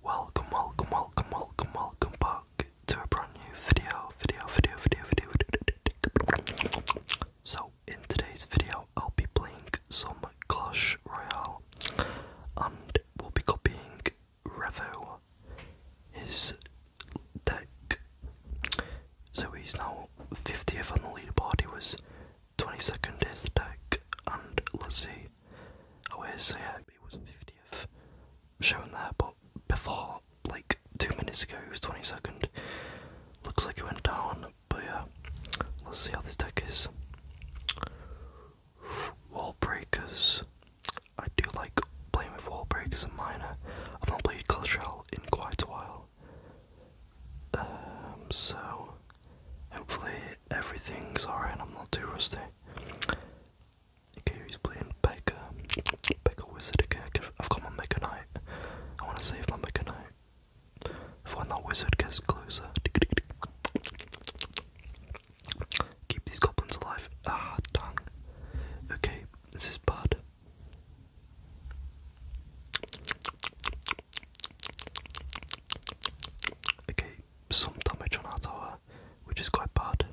Welcome, welcome, welcome, welcome, welcome back to a brand new video, video, video, video, video, So, in today's video, I'll be playing some Clash Royale and we'll be copying Revo, his deck. So, he's now 50th on the leaderboard, he was 22nd his deck, and let's see actually. Oh, it is, yeah, it was 50th shown there, but before, like, two minutes ago, it was 22nd. Looks like it went down, but yeah, let's see how this deck is. Wall Breakers. I do like playing with Wall Breakers and Miner. I've not played Clashell in quite a while. Um, so, hopefully everything's alright I'm not too rusty. Okay, he's playing Pekka. Pekka Wizard. Okay, I've got my Mega Knight. I want to save my Mega Knight. For when that Wizard gets closer. Keep these goblins alive. Ah, dang. Okay, this is bad. Okay, some damage on our tower, which is quite bad.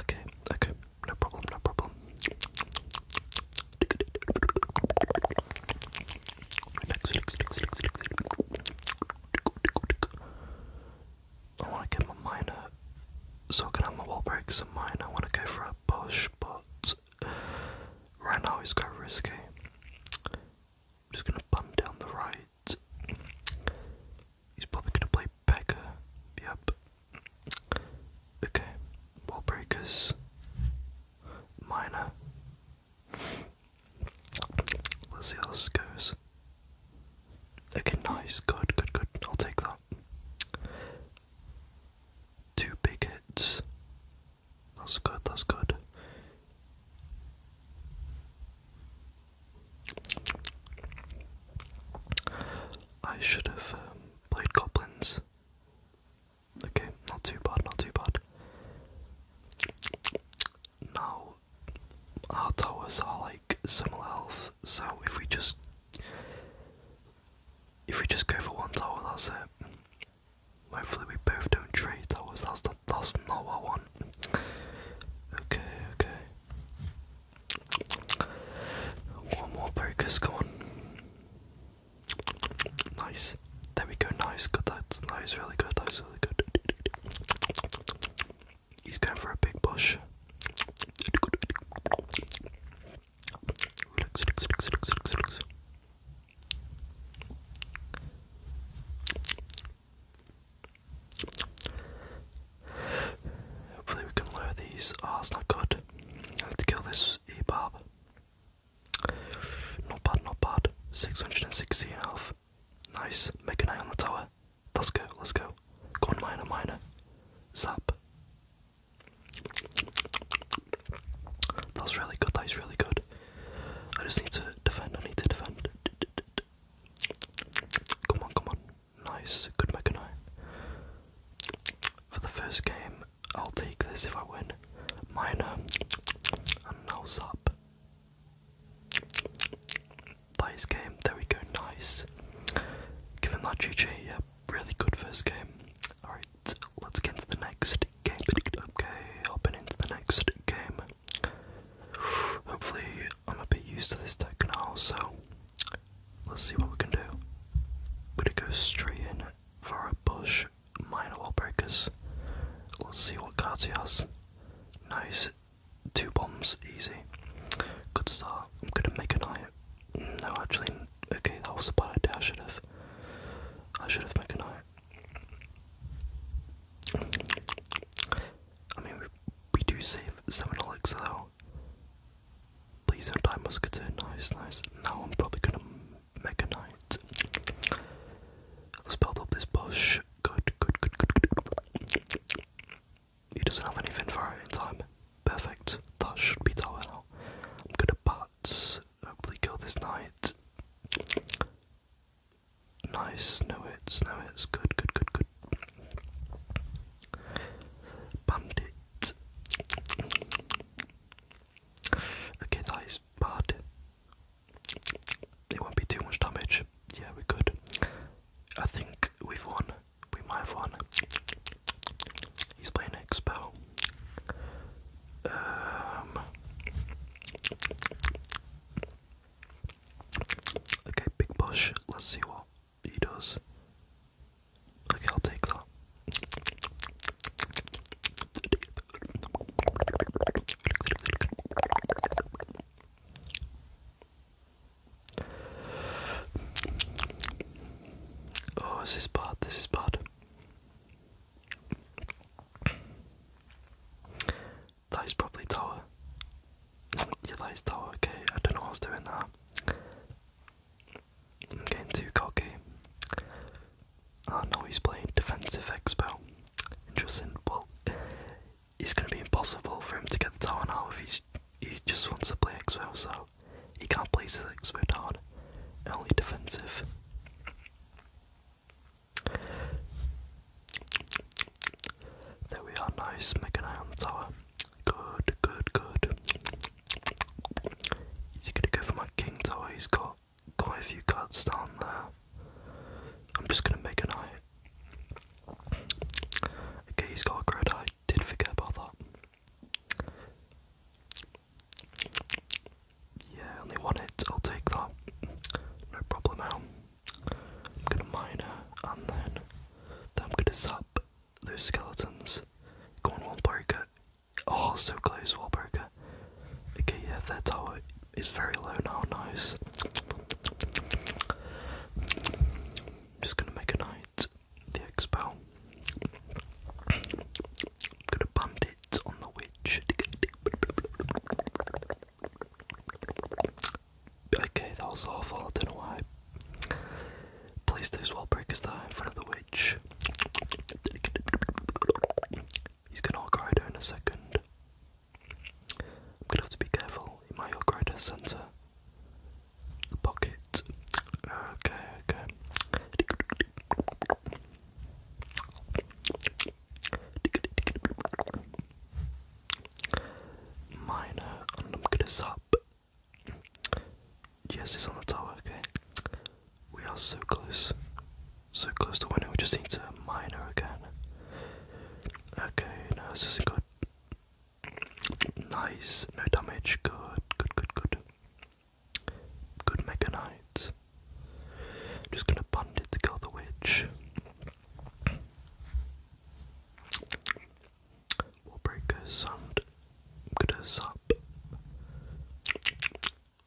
Okay, okay, no problem, no problem. I want to get my miner, so can have my wall breaks and mine. I want to go for a bush, but right now it's quite risky just going to bum down the right. He's probably going to play Becker. Yep. Okay. Wall breakers. Minor. Let's see how this goes. Okay, nice. Good, good, good. I'll take that. Two big hits. That's good, that's good. I should have um, played goblins. Okay, not too bad, not too bad. Now, our towers are like similar health, so if we just if we just go for one tower, that's it. Hopefully we both don't trade. That was that's the, that's not what I want. Okay, okay. One more focus, come on. Nice. There we go, nice, good that's nice, really good, that's really good. He's going for a big push. Hopefully we can lure these arse not good. I need to kill this e Ebab. Not bad, not bad. 616 health. Nice. Make an eye on the tower. Let's go, let's go. Go on miner. minor. Zap. That's really good, That was really good. I just need to defend, I need to defend. Come on, come on. Nice, good mega nine. For the first game, I'll take this if I win. Minor, and now zap. That is game, there we go, nice. Given that GG, yeah, really good first game. Alright, let's get into the next game. Okay, hopping into the next game hopefully I'm a bit used to this deck now, so let's see what we can do. gonna go straight in for a push, minor wall breakers. Let's see what cards he has. Nice, two bombs, easy. Good start. I'm gonna make a knight. No, actually, okay, that was a bad idea. I should have. I should have made a knight. I mean, we, do save 7 elixir Please don't musketeer, nice, nice. Now I'm probably gonna mega knight. Let's build up this bush. Good, good, good, good, He doesn't have anything for in time. Perfect. That should be tower I'm gonna bat. Hopefully kill this knight. Nice, no it's, no it's, good, good, good, good. Bandit. Okay, that is bad. It won't be too much damage. Yeah, we're good. I think we've won. We might have won. He's playing Expo. Um, Okay, big push. Let's see what he does. Okay, I'll take that. Oh, this is bad. This is bad. That is probably tower. Yeah, that is tower, okay. I don't know what I was doing there. I'm getting too cocky. Ah, oh, no, he's playing defensive expo. Interesting. Well, it's going to be impossible for him to get the tower now if he's, he just wants to play expo, so he can't place his expo tower. Only defensive. There we are, nice, Meganham Tower. Good, good, good. Is he gonna go for my King Tower? He's got quite a few cards down there. I'm just gonna make an eye. Okay, he's got a Great I did forget about that. Yeah, only one hit, I'll take that. No problem now. I'm gonna mine her, and then, then I'm gonna zap those skeletons. Go on, Wallbreaker. Oh, so close, Wallbreaker. Okay, yeah, that tower is very low now, nice. just gonna make a knight, the expo. gonna bandit on the witch. Okay, that was awful. I don't know why. Please do well break us there in front of the witch. He's gonna go her in a second. I'm gonna have to be careful. He might go to center. The pocket. Okay, okay. Minor, and I'm gonna zap. Yes, it's on the tower, okay? We are so close. So close to winning, we just need to minor again. Okay, no, isn't good. Nice, no damage, good, good, good, good. Good Mega I'm just gonna bandit to kill the witch. We'll break a sound. gonna zap.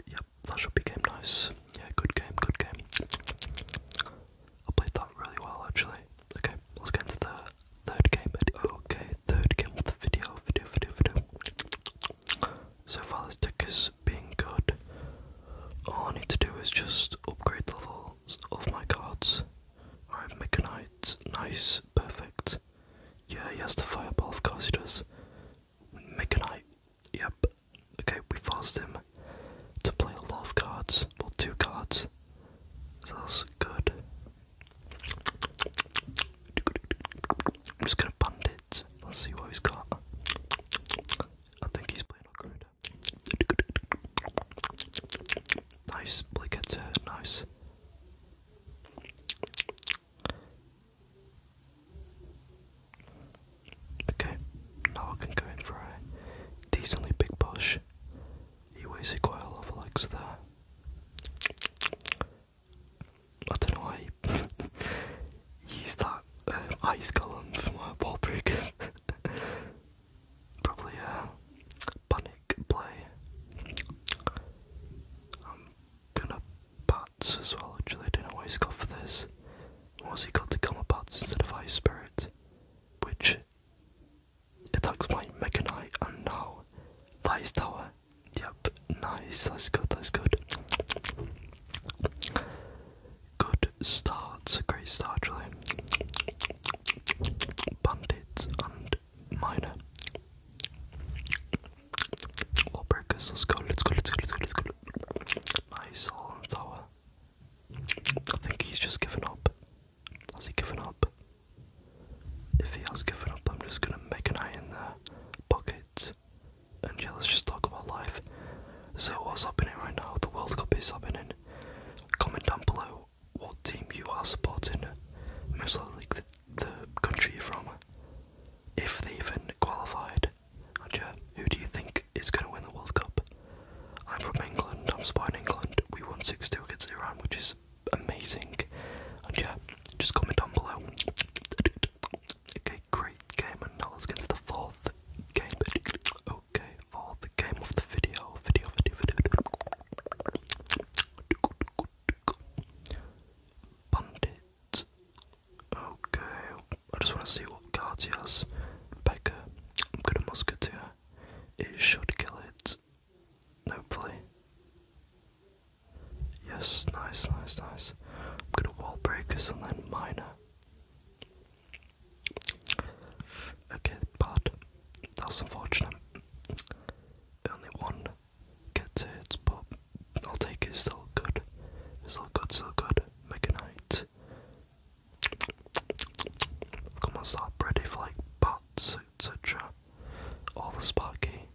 Yep, that should be game nice. Yeah, good game, good game. I played that really well actually. Okay, let's get into the third game. Okay, third game of the video, video, video, video. So far, let's us being good. All I need to do is just upgrade levels of my cards. Alright, make a Nice, perfect. Yeah, he has the fireball, of course he does. Make a knight. Yep. Okay, we forced him to play a lot of cards. Well, two cards. So that's good. I'm just gonna bandit. Let's see what he's got. I think he's playing upgrade. Nice, Blickets, nice. Okay, now I can go in for a decently big push. He wasted quite a lot of legs there. I don't know why he that um, ice column for my ball breakers. Probably a panic play. I'm gonna bats as well, actually. I don't know what he's got for this. What's he got to come with instead of Ice Spirit? Which attacks my Mega and now Lies Tower. Yep, nice, that's good, that's good. Good starts, great start Julian. Bandits and miner. Wall breakers, let's go, let's go, let's go, let's go, let's go. Nice all on tower. I think he's just given up. Has he given up? If he has given up, I'm just gonna make an eye in the pocket. And let's just talk about life. So what's happening right now? The World Cup is happening. Comment down below what team you are supporting, most likely the, country you're from, if they even qualified. And yeah, who do you think is going to win the World Cup? I'm from England, I'm supporting England. We won 6 2 against Iran, which is amazing. And yeah, just comment down below. Okay, great game, and now let the fourth game okay for the game of the video, video, video, video. Bandit. Okay, I just want to see what cards he has. I'm gonna musketeer. He should kill it. Hopefully. Yes, nice, nice, nice. I'm gonna wall breakers and then miner. Okay, bad. That's unfortunate. Only one gets it, but I'll take it. still good. still good, still good. Make a night. I've got ready for like bats, etc. All the sparky.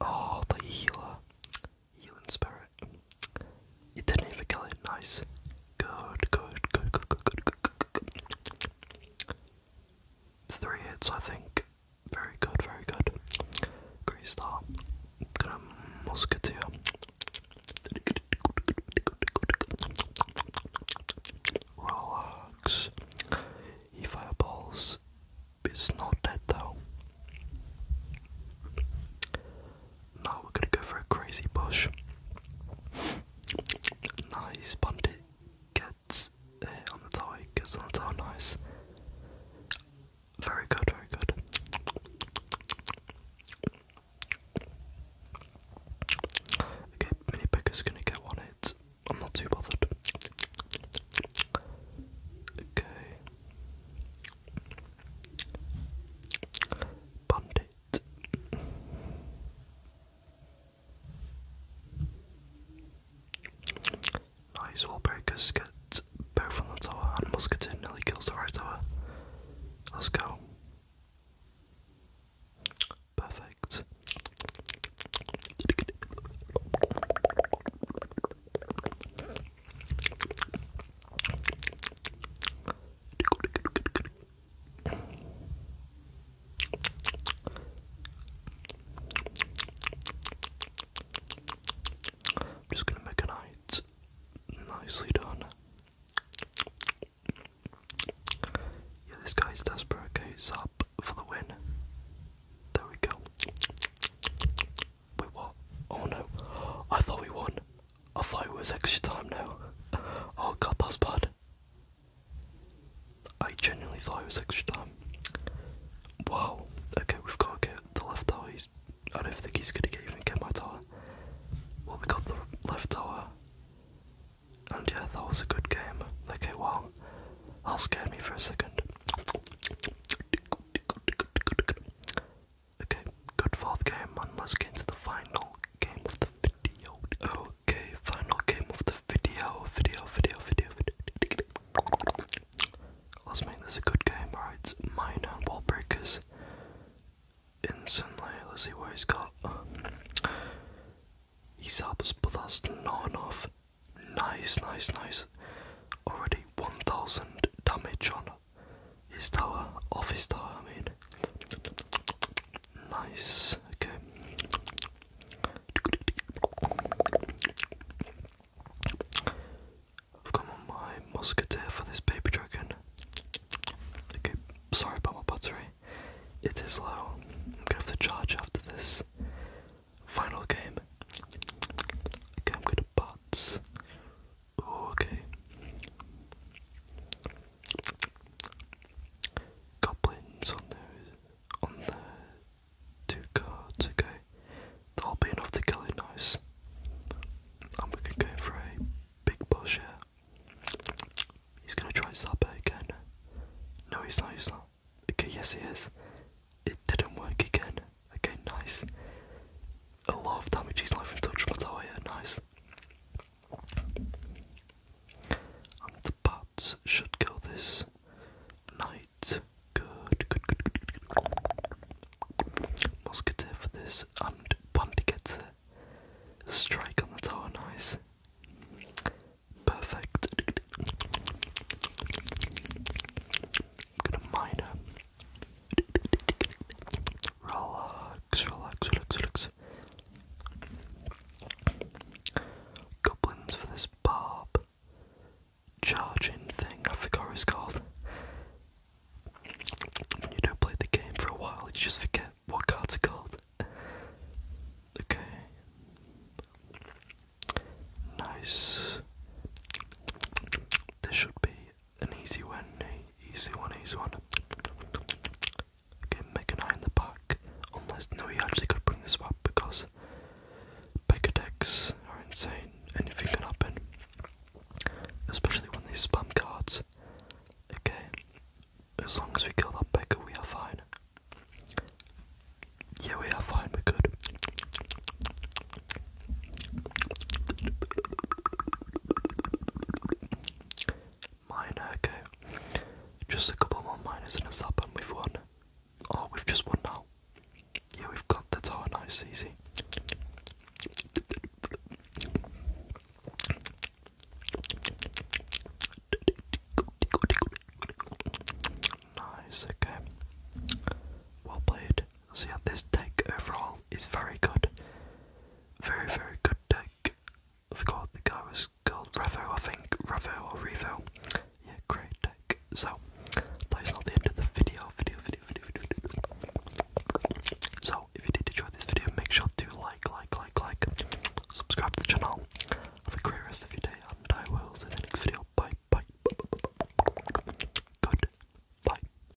Oh, the healer. Healing Spirit. It didn't even kill him. Nice. Good, good, good, good, good, good, good, good, good. Three hits, I think. Very good, very good. Great start. Gonna musketeer. He fireballs. It's not dead though. Now we're gonna go for a crazy push. Nice, Pundit gets on the tower, gets on the tower, nice. Very good, very good. Okay, Mini Picker's gonna get one hit. I'm not too bothered. Okay. Bandit. Nice Wallbreakers get both on the tower and Musketon nearly kills the right tower. Let's go. Perfect. I'm just gonna make a night nicely done. Yeah, this guy's desperate. he's up for the win. There we go. Wait, what? Oh no. I thought we won. I thought it was extra time now. Oh god, that's bad. I genuinely thought it was extra time. Wow. Okay, we've got to get the left tower. He's, I don't think he's gonna get, even get my tower. Well, we got the left tower. And yeah, that was a good game. Okay, wow. That scared me for a second. Okay, good fourth game, and let's get into the final game of the video. Okay, final game of the video, video, video, video, video. Let's make this a good game, alright? Mine and wall breakers. Instantly, let's see what he's got. He's ups, but that's not enough. Nice, nice, nice. Already 1000 damage on his tower. Off his tower, I mean. Nice. Okay. I've got on my musketeer for this baby dragon. Okay, sorry about my battery. It is low. I'm gonna have to charge after this final game. Okay, I'm gonna bat. Okay. Goblins on the on the two cards, okay. That'll be enough to kill it nice. And we can go for a big push here. He's gonna try Sabe again. No he's not, he's not. Okay, yes he is. It didn't work again. Again, nice. A lot of damage he's life and touch from the tower nice. the bats should kill this knight. Good, good, good, good, for this, and Bandy strike on the tower, nice. Perfect. I'm gonna miner. Relax, relax, relax, relax. Goblins for this barb charging thing, I forgot what it's called. When you don't play the game for a while, you just forget what cards are called. Okay. Nice. This should be an easy one, easy one, easy one. Okay, Mega Knight in the back. Unless, no, he actually could bring this up because Mega decks are insane. Anything can happen. Especially when they spam cards. Okay, as long as we kill that Becca, we are fine. Yeah, we are fine, we're good. Minor, okay. Just a couple more minors and a sub, and we've won. Oh, we've just won now. Yeah, we've got the tower, nice, easy. Nice, okay. Well played. So yeah, this deck overall is very good. Very, very good deck. I forgot the guy was called Revo, I think. Revo or Revo. Yeah, great deck. So, that is not the end of the video. Video, video, video, video, So, if you did enjoy this video, make sure to like, like, like, like, subscribe to the channel. Have a great rest of your day, and I will see you in the next video. Bye, bye. Good. Bye.